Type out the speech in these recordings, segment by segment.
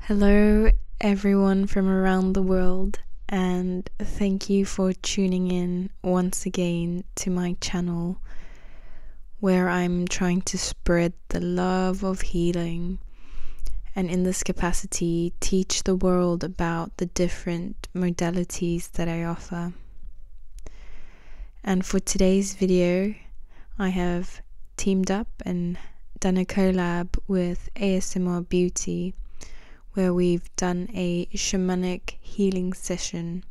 Hello, everyone from around the world, and thank you for tuning in once again to my channel where I'm trying to spread the love of healing and, in this capacity, teach the world about the different modalities that I offer. And for today's video, I have teamed up and done a collab with ASMR Beauty where we've done a shamanic healing session.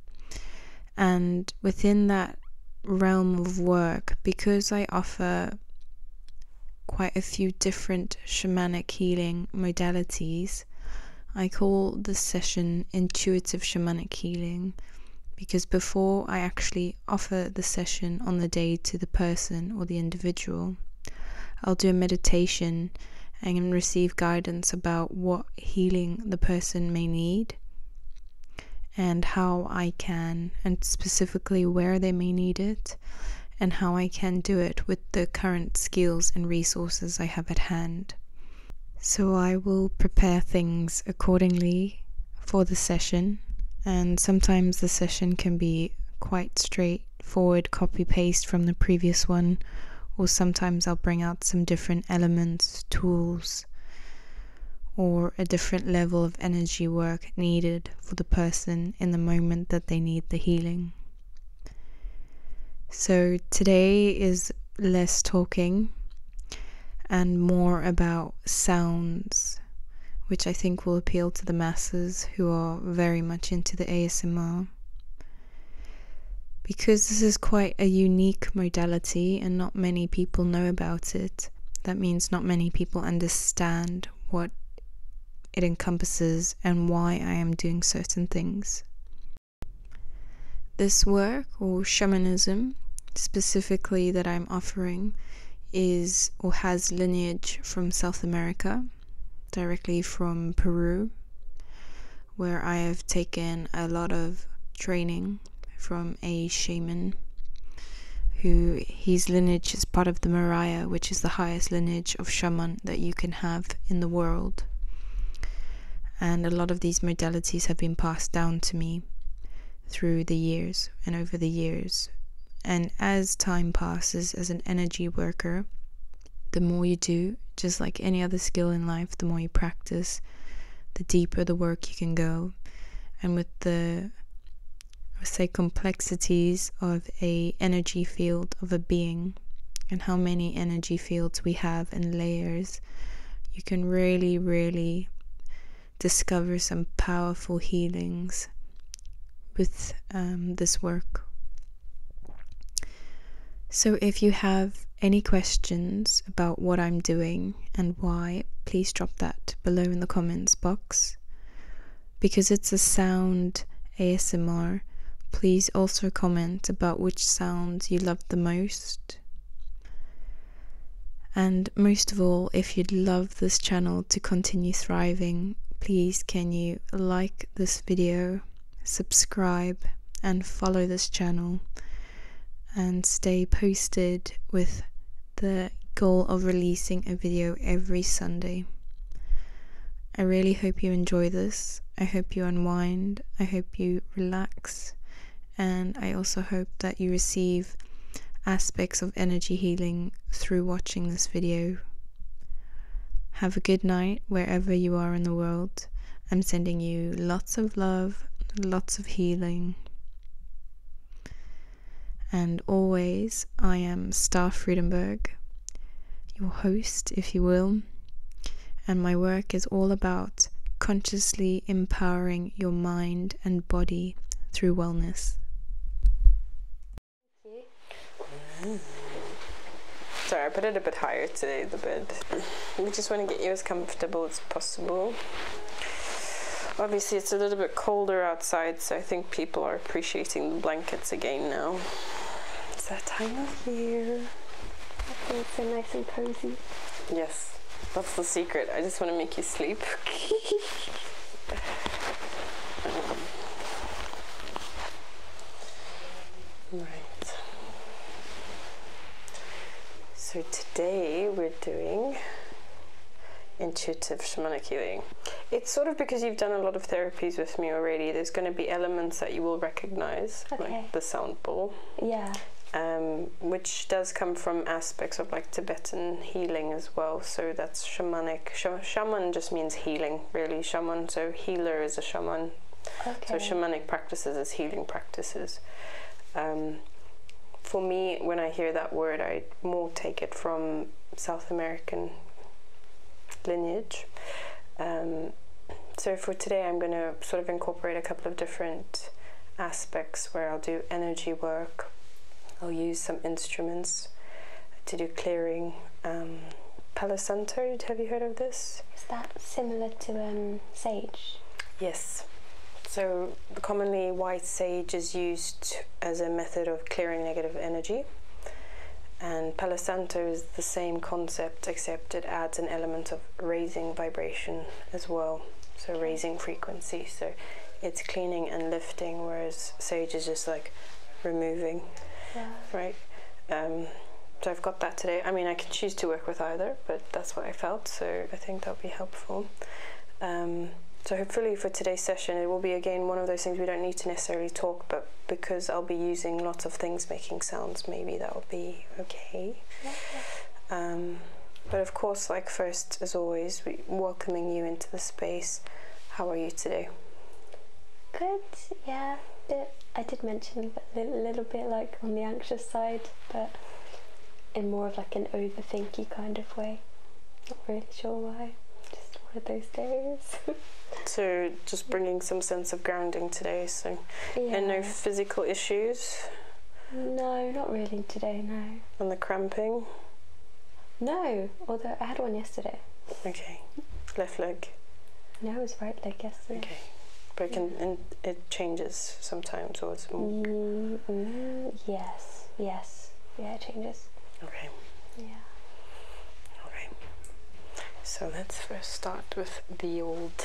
And within that realm of work, because I offer quite a few different shamanic healing modalities, I call this session intuitive shamanic healing because before I actually offer the session on the day to the person or the individual. I'll do a meditation and receive guidance about what healing the person may need and how I can, and specifically where they may need it, and how I can do it with the current skills and resources I have at hand. So I will prepare things accordingly for the session, and sometimes the session can be quite straightforward copy paste from the previous one, or sometimes I'll bring out some different elements, tools, or a different level of energy work needed for the person in the moment that they need the healing. So today is less talking and more about sounds which I think will appeal to the masses who are very much into the ASMR. Because this is quite a unique modality and not many people know about it, that means not many people understand what it encompasses and why I am doing certain things. This work, or shamanism specifically, that I'm offering is or has lineage from South America, directly from Peru, where I have taken a lot of training from a shaman who his lineage is part of the Mariah, which is the highest lineage of shaman that you can have in the world. And a lot of these modalities have been passed down to me through the years and over the years. And as time passes as an energy worker, the more you do, just like any other skill in life, the more you practice, the deeper the work you can go. And with the I would say complexities of a energy field of a being and how many energy fields we have and layers, you can really, really discover some powerful healings with um, this work. So, if you have any questions about what I'm doing and why, please drop that below in the comments box. Because it's a sound ASMR, please also comment about which sounds you love the most. And most of all, if you'd love this channel to continue thriving, please can you like this video, subscribe and follow this channel and stay posted with the goal of releasing a video every Sunday. I really hope you enjoy this. I hope you unwind. I hope you relax. And I also hope that you receive aspects of energy healing through watching this video. Have a good night wherever you are in the world. I'm sending you lots of love, lots of healing. And always, I am Star Friedenberg, your host, if you will. And my work is all about consciously empowering your mind and body through wellness. Sorry, I put it a bit higher today, the bed. We just want to get you as comfortable as possible. Obviously, it's a little bit colder outside, so I think people are appreciating the blankets again now. It's that time of year. I think it's so nice and cozy. Yes, that's the secret. I just want to make you sleep. right. So today we're doing intuitive shamanic healing. It's sort of because you've done a lot of therapies with me already, there's going to be elements that you will recognize, like the sound ball. Yeah. Um, which does come from aspects like Tibetan healing as well. So that's shamanic. shaman just means healing, really. Shaman, so healer is a shaman. So shamanic practices is healing practices. Um, for me, when I hear that word, I more take it from South American lineage. Um, so for today, I'm going to sort of incorporate a couple of different aspects where I'll do energy work. I'll use some instruments to do clearing. Um, palisanto. have you heard of this? Is that similar to um, sage? Yes. So, commonly, white sage is used as a method of clearing negative energy. And palisanto is the same concept, except it adds an element of raising vibration as well. So, raising frequency. So, it's cleaning and whereas sage is just like removing, right? Um, so I've got that today. I mean, I can choose to work with either, but that's what I felt, so I think that'll be helpful. Um, so hopefully for today's session, it will be again one of those things we don't need to necessarily talk, but because I'll be using lots of things making sounds, maybe that'll be okay. Um, but of course, like for as always, welcoming you into the space. How are you today? Good, yeah. I did mention a little bit like on the anxious side, but in more of like an overthinky kind of way. Not really sure why. Just one of those days. so just bringing some sense of grounding today. So, and no physical issues. No, not really today. No cramping? No, although I had one yesterday. Okay, left leg. No, it was right leg yesterday. Okay, but it and it changes sometimes, So it's more. Mm, yes, yes, yeah, it changes. Okay. Yeah. Okay. So let's first start with the old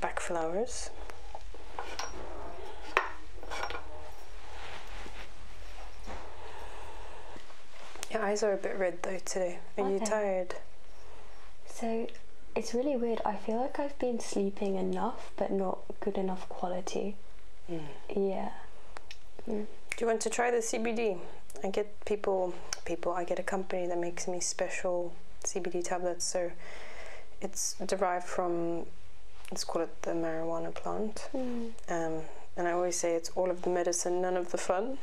back flowers. Your eyes are a bit red though today. Are you tired? So it's really weird. I feel like I've been sleeping enough but not good enough quality. Mm. Yeah. Mm. Do you want to try the CBD? I get people, people, I get a company that makes me special CBD tablets. So it's derived from, let's call it the marijuana plant. Mm. Um, and I always say all of the medicine, none of the fun.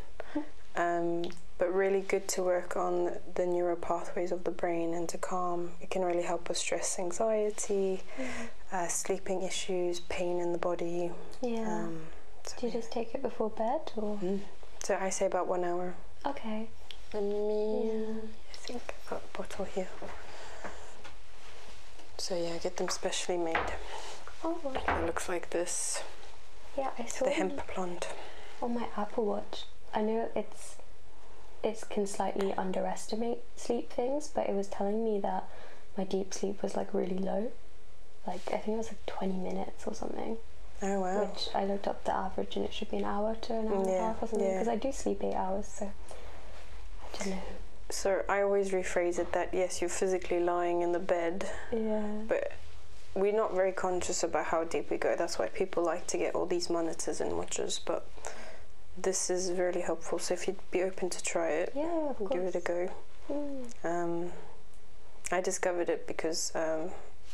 Um, but really good to work on the neural pathways of the brain and to calm. It can really help with stress, anxiety, mm-hmm. uh, sleeping issues, pain in the body. Yeah. Um, Do you just take it before bed or? Mm. So I say about one hour. Okay. Let me. I think I've got a bottle here. So yeah, get them. Especially made. Oh, wow. It looks like this. Yeah, I saw the hemp plant. On my Apple Watch, I know it's it can slightly underestimate sleep things, but it was telling me that my deep sleep was like really low. Like I think it was like 20 minutes or something. Oh wow. Which I looked up the average and it should be an hour to an hour and a half or something because I do sleep 8 hours so I don't know. So I always rephrase it that yeah yes, you're physically lying in the bed. But we're not very conscious about how deep we go. That's why people like to get all these monitors and watches. But this is really helpful. So if you'd be open to try it, yeah, give it a go. Hmm. Um, I discovered it because um,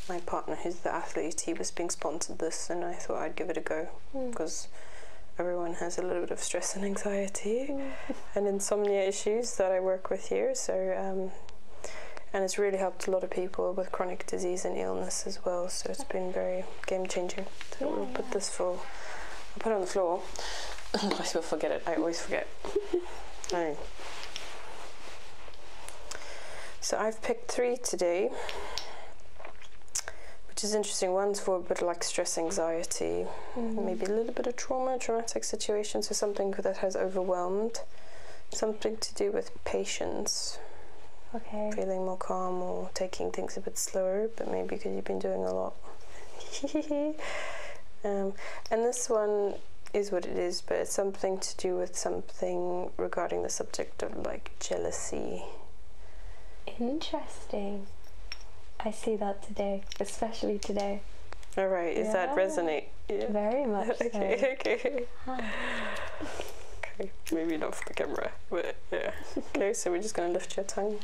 my partner, who's the athlete, he was being sponsored this, and I thought I'd give it a go because hmm. everyone has a little bit of stress and anxiety and insomnia issues that I work with here. So, um, and it's really helped a lot of people with chronic disease and illness as well. So it's been very game changing. So yeah, will put this for, I'll put it on the floor. Otherwise we'll forget it. I always forget. right. So I've picked three today, which is interesting. One's for a bit like stress, anxiety, mm-hmm. maybe a little bit of trauma, traumatic situations, so or something that has overwhelmed, something to do with patience. Okay. Feeling more calm or taking things a bit slower, but maybe because you've been doing a lot. Um, and this one is what it is, but it's something to do with something regarding the subject of like jealousy. Interesting. I I see that today, especially today. All right, is that resonate? Very much. okay, okay. okay, maybe not for the camera, but yeah. okay, so we're just gonna lift your tongue.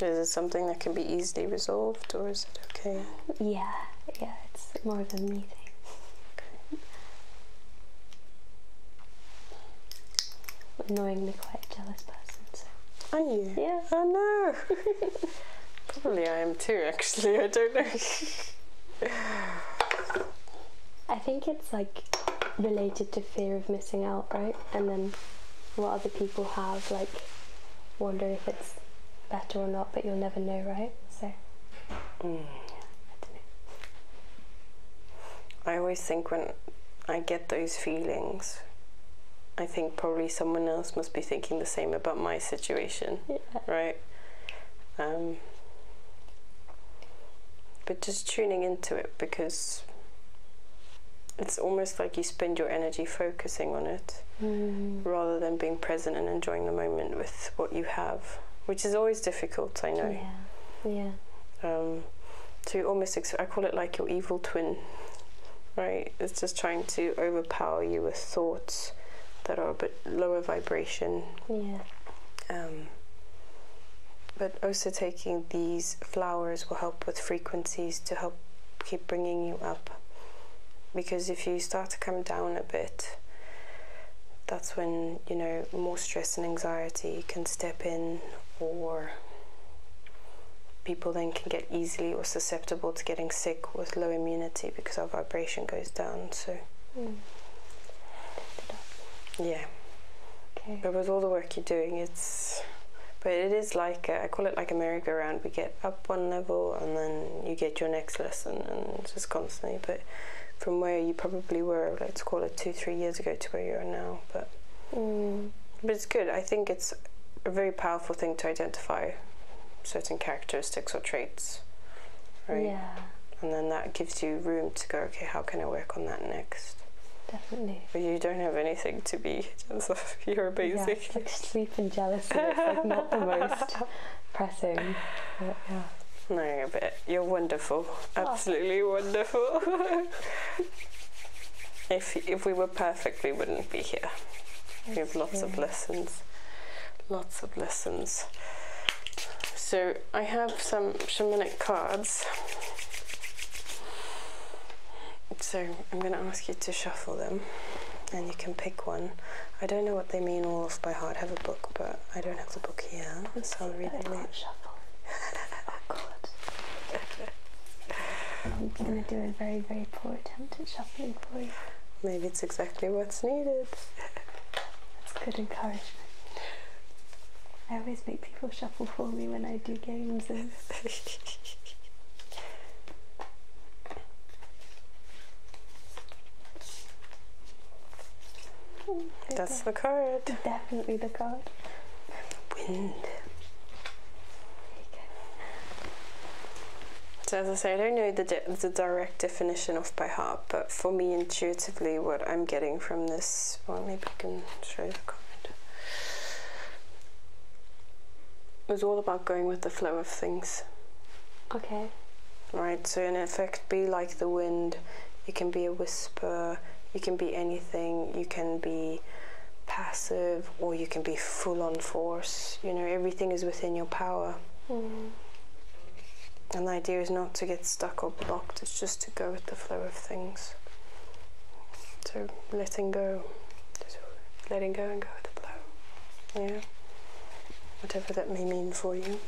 Is it something can be easily resolved, or is it okay? Yeah, yeah, it's more of a me thing. Okay. Annoyingly quite a jealous person, so. Are you? Yeah. I oh, know. Probably I am too, actually, I don't know. I think it's like related to fear of missing out, right? And then what people have, like wonder if it's better or not, but you'll never know, right? So, I always think when I get those feelings, I think probably someone else must be thinking the same about my situation, right? Um, but just tuning into it because it's almost like you spend your energy focusing on it mm. rather than being present and enjoying the moment with what you have, which is always difficult, I know. Yeah. yeah. Um, to almost, I call it like your evil twin, right? It's just trying to overpower you with thoughts that are a bit lower vibration. Yeah. Um, but also taking these flowers will help with frequencies to help keep bringing you up. Because if you start to come down a bit, that's when, you know, more stress and anxiety can step in, or people then can get easily or susceptible to getting sick with low immunity because our vibration goes down. So, mm. yeah. Okay. But with all the work you're doing, it's but it is like I call it like a miracle merry-go-round. We get up one level and then you get your next lesson, and just constantly. But from where you probably were, let's call it two, three years ago, to where you are now. But mm. but it's good. I think it's a very powerful thing to identify certain characteristics or traits, right? Yeah. And then that gives you room to go. Okay, how can I work on that next? Definitely. But you don't have anything to be just of. You're it's like sleep and jealousy. It's like not the most pressing. No, but you're wonderful. Absolutely wonderful. if if we were perfect, we wouldn't be here. we have lots of lessons. Lots of lessons. So I have some shamanic cards so I'm going to ask you to shuffle them and you can pick one. I don't know what they mean all off by heart. have a book, but I don't have the book here, so I'll read them later. Shuffle. oh God. I'm going to do a very, very poor attempt at shuffling for you. Maybe it's exactly what's needed. That's good encouragement. I always make people shuffle for me when I do games. That's the card. Definitely the card. Wind. So as I say, I don't know the, the direct definition off by heart, but for me intuitively what I'm getting from this, well maybe I can show the card. It was all about going with the flow of things. Okay. Right, so in effect, be like the wind. You can be a whisper, you can be anything, you can be passive, or you can be full on force. You know, everything is within your power. Mm. And the idea is not to get stuck or blocked, it's just to go with the flow of things. So letting go, letting go and go with the flow. Yeah, whatever that may mean for you.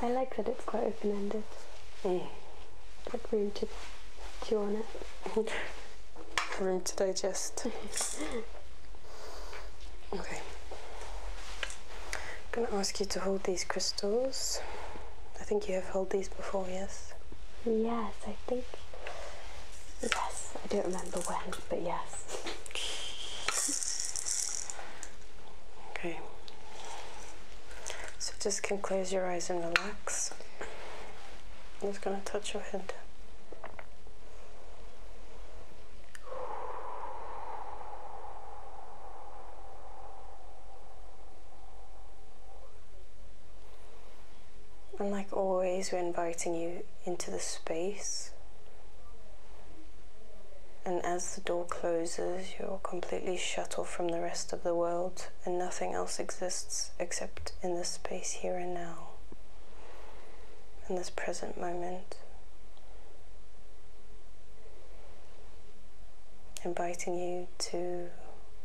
I like that it's quite open ended. Mm. room to chew on it. room to digest. okay. I'm going to ask you to hold these crystals. I think you have held these before, yes? Yes, I think. Yes, I don't remember remember but yes. Okay. So just can close your eyes and relax. I'm just gonna touch your head. And like always, when inviting you into the space. And as the door closes, you're completely shut off from the rest of the world, and nothing else exists except in this space here and now, in this present moment. Inviting you to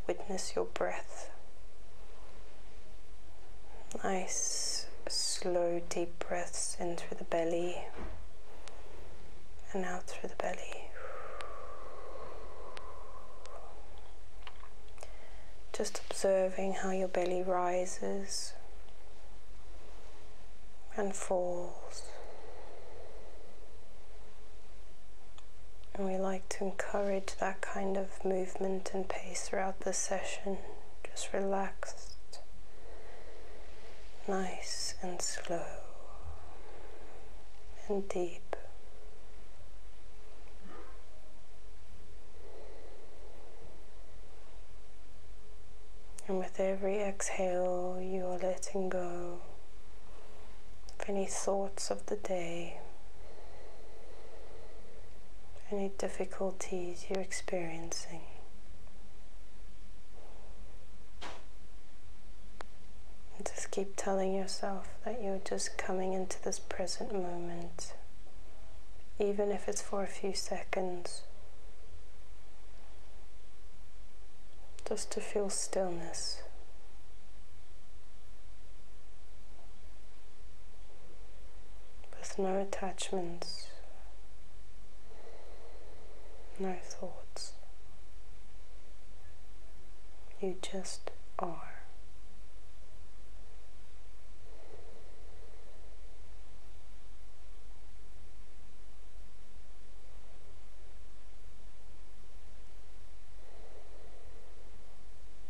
witness your breath. Nice slow deep breaths in through the belly and out through the belly. Just observing how your belly rises and falls. And we like to encourage that kind of movement and pace throughout the session just relaxed, nice and slow and deep. And with every exhale, you are letting go of any thoughts of the day any difficulties you're experiencing. just keep telling yourself that you're just coming into this present moment, even if it's for a few seconds, just to feel stillness with no attachments, no thoughts. You just are.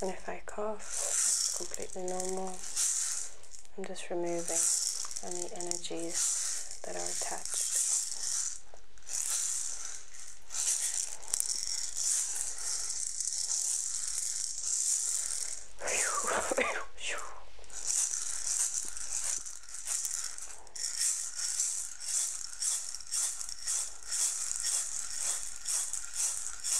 And if I cough, it's completely normal. I'm just removing any energies that are attached.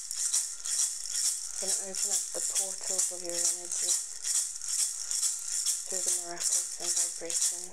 You're going to open up the portals of your energy through the miracles and vibration.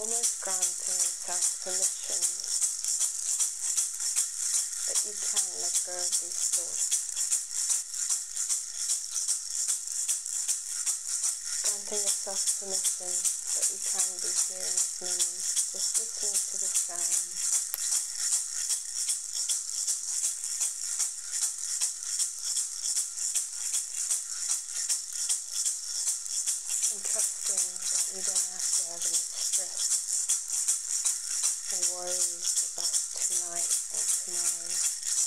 almost granting yourself permission that you can let go of these thoughts don't be yourself for missing, you can be here in this moment, just listening to the sound. And trusting that you don't have to have any stress and worries about tonight or tomorrow.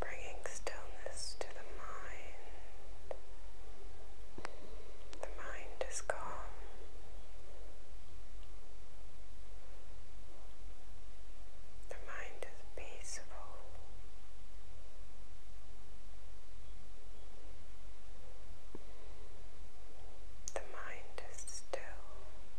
Bringing stillness to the mind. The mind is calm. The mind is peaceful. The mind is still.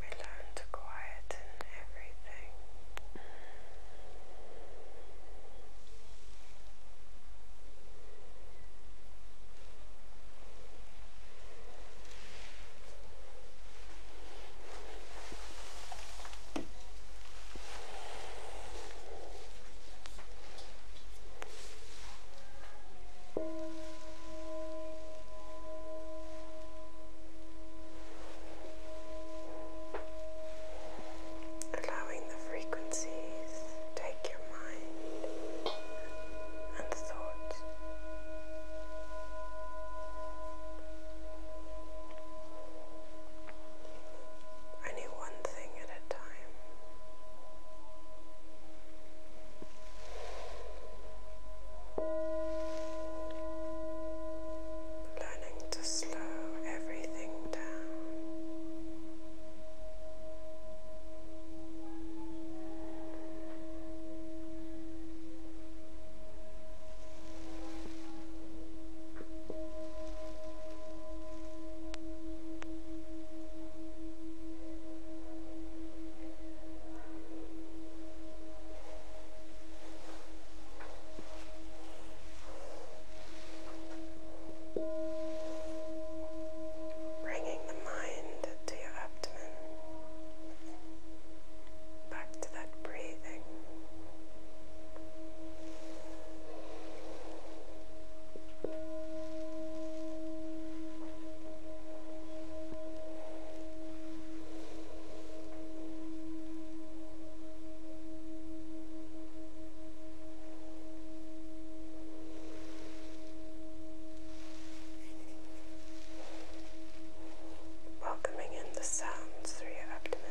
We learn to quieten everything. Allowing the frequencies take your mind and thoughts. Only one thing at a time. Learning to slow everything down. Bringing the mind to your abdomen, back to that breathing. Welcoming in the sounds through your abdomen.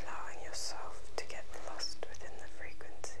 allowing yourself to get lost within the frequency.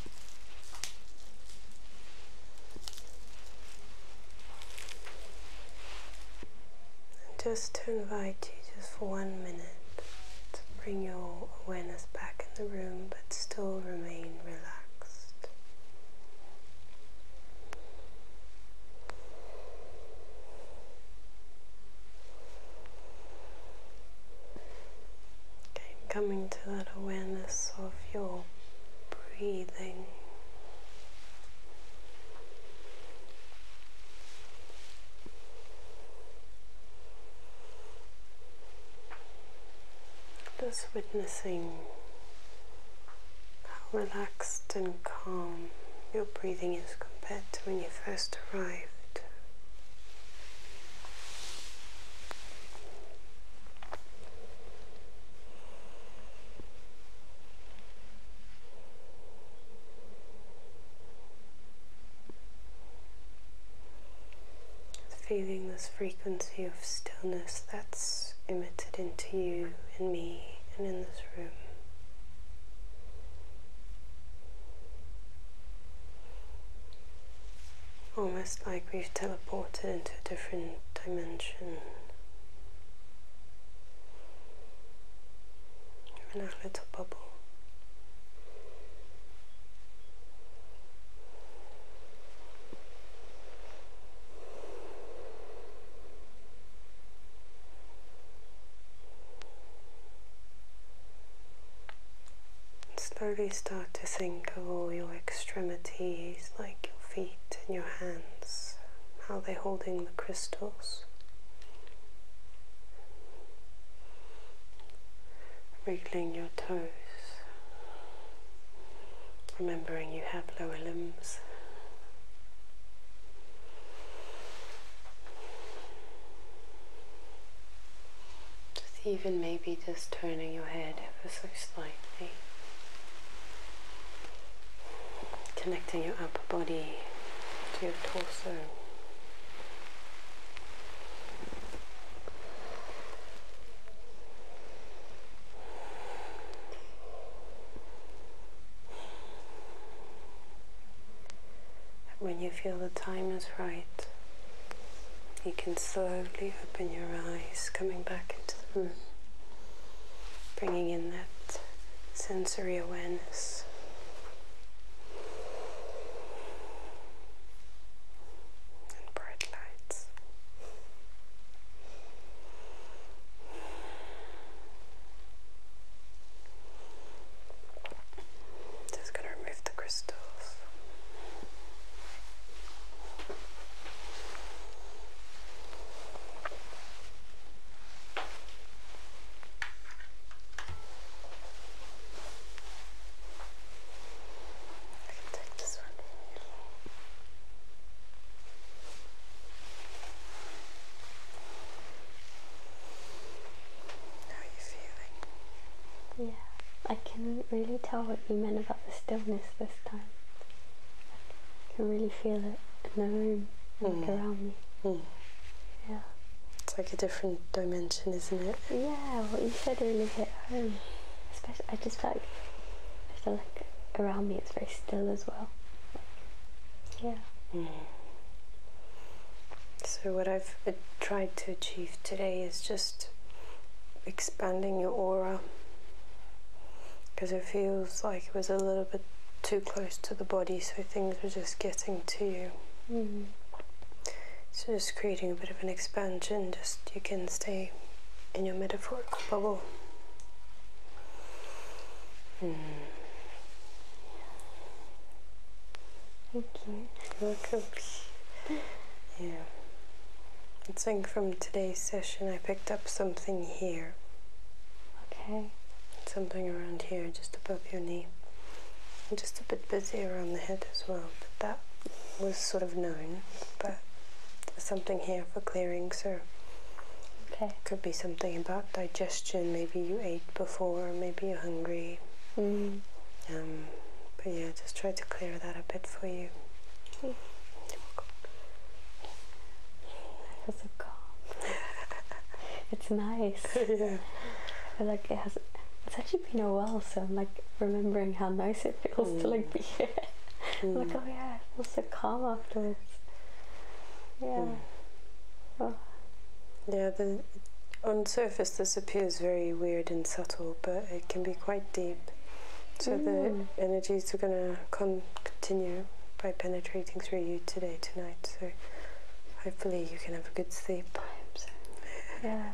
just to invite you just for one minute to bring your awareness back in the room but still remain relaxed. Okay, coming to that awareness of your breathing. Just witnessing how relaxed and calm your breathing is compared to when you first arrived. Feeling this frequency of stillness that's emitted into you in me and in this room almost like we've teleported into a different dimension. In our little bubble. slowly start to think of all your extremities like your feet and your hands, how they're holding the crystals. Wriggling your toes, remembering you have lower limbs. Just even maybe just turning your head ever so slightly, connecting your upper body to your torso. When you feel the time is right, you can slowly open your eyes, coming back into the room, bringing in that sensory awareness. And bright lights. Just going to remove the crystals. I can take this from you. How are you feeling? Yeah, I can really tell what you mean about the stillness this time. I can really feel it in the room, and mm. around me. Mm. Yeah. It's like a different dimension, isn't it? Yeah, what you said really hit home. Especially, I just felt like, feel like around me it's very still as well. yeah. Mm. So what I've uh, tried to achieve today is just just expanding your aura because it feels like it was a little bit too close to the body, so things were just getting to you. Mm-hmm. So, just creating a bit of an expansion, just you can stay in your metaphorical bubble. Hmm. Yeah. I think from today's session I picked up something here. Okay. Something around here, just above your knee. i just a bit busy around the head as well, but that was sort of known. But there's something here for clearing, so okay. could be something about digestion. Maybe you ate before, maybe you're hungry. Mm. Um, but yeah, just try to clear that a bit for you. it's nice. I feel like it has. It's actually been a while, so I'm like remembering how nice it feels to like be here. Mm. like, oh yeah, it feels so calm afterwards. Yeah. Mm. Oh. Yeah. The on surface this appears very weird and subtle, but it can be quite deep. So the and mm energies are going to continue by penetrating through you today, tonight. So hopefully you can have a good sleep. Yeah,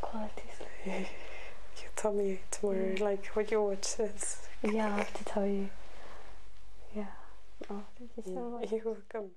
quality sleep. You'll tell me tomorrow, yeah. like what your watch says. yeah, I have to tell you. Yeah. Oh, thank you so much. You're welcome.